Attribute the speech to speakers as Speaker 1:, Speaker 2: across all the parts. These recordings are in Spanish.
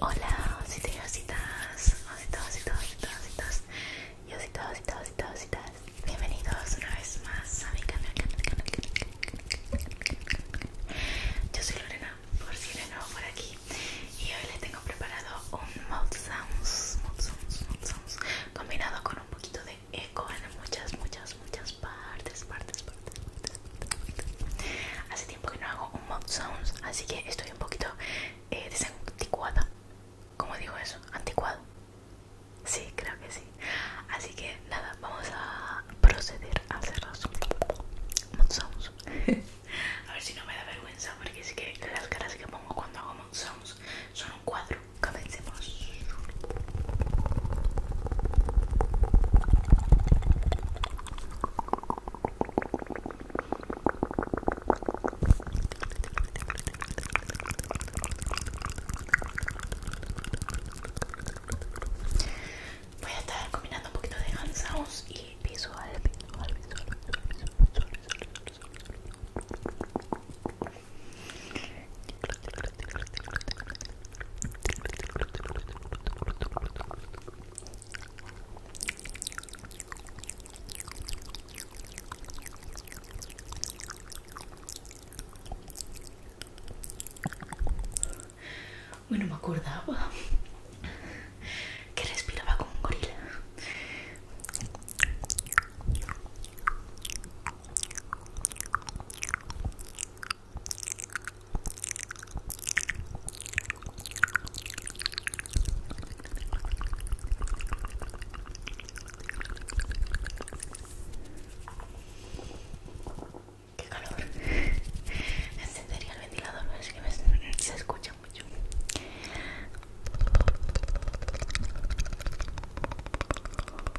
Speaker 1: Hola, ositos y ositas, ositos, ositos Bienvenidos una vez más a mi canal, Yo soy Lorena, por si eres nuevo por aquí Y hoy les tengo preparado un sounds, Combinado con un poquito de en muchas, muchas, muchas partes, partes, partes, Hace tiempo que no hago un mod sounds, así que estoy un poquito eh, desanticuada. ¿Cómo digo eso? ¿Anticuado? Sí, creo que sí. Así que nada, vamos a proceder a hacer los mod sounds. a ver si no me da vergüenza, porque sí que las caras que pongo cuando hago mod sounds son un cuadro comencemos. Voy a estar combinando un poquito de hand y bueno, me acordaba que respiraba con un gorila. Qué calor. Encendería el ventilador, es que me, se escucha mucho.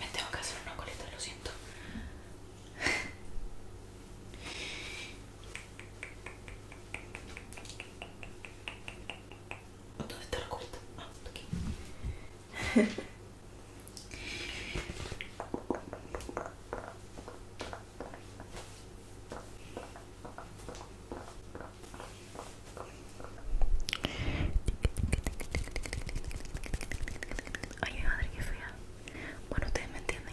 Speaker 1: Me tengo que hacer una coleta, lo siento. ¿Dónde está la coleta? Ah, aquí. Ay, madre, qué fea. Bueno, ustedes me entienden.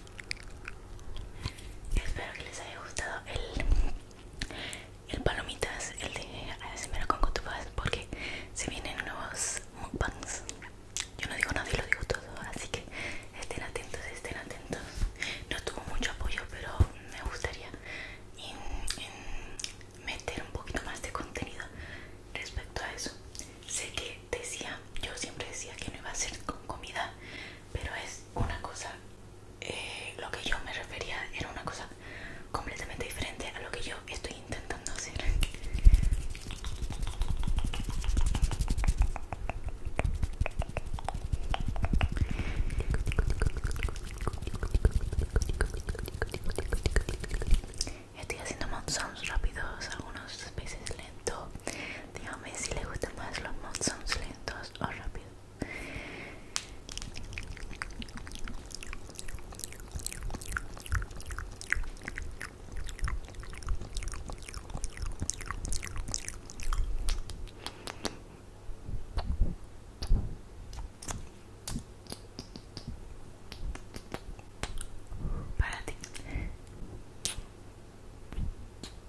Speaker 1: Espero que les haya gustado el, el palomitas, el de ASMR con cotufas, porque se vienen nuevos mukbangs. Yo no digo nada y lo digo todo, así que estén atentos, estén atentos. No tuvo mucho apoyo, pero me gustaría meter un poquito más de contenido respecto a eso. Sé que decía, yo siempre decía que no iba a ser con comida pero es una cosa eh, lo que yo me refería era una cosa completamente diferente a lo que yo estoy intentando hacer Estoy haciendo mouth rápidos, algunos veces lento Dígame si le gusta más los mouth sounds lentos o rápidos. Para ti.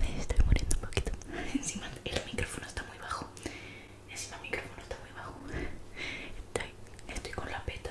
Speaker 1: Me estoy muriendo un poquito. Encima el micrófono está muy bajo. Encima el micrófono está muy bajo. Estoy, estoy con la peta.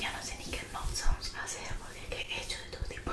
Speaker 1: Ya no sé ni qué más vamos a hacer porque he hecho de todo tipo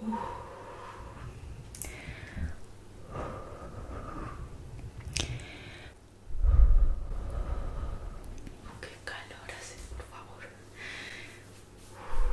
Speaker 1: Uh. Que calor hace, por favor. Uh.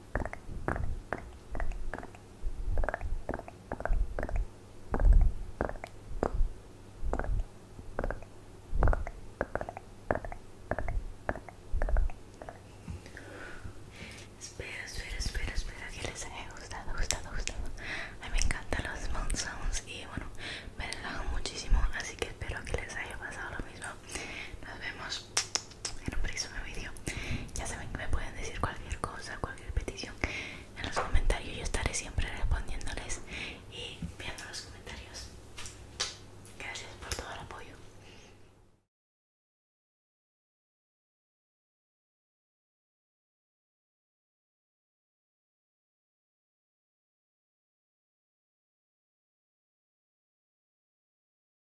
Speaker 1: espero, espero, espero espero que les haya gustado, gustado, gustado. A mí me encantan los mouth sounds y bueno, me relajan muchísimo, así que espero que les haya pasado lo mismo. Nos vemos en un próximo vídeo. Ya saben que me pueden decir cualquier cosa, cualquier petición en los comentarios. Yo estaré siempre respondiéndoles y viendo los comentarios. Gracias por todo el apoyo.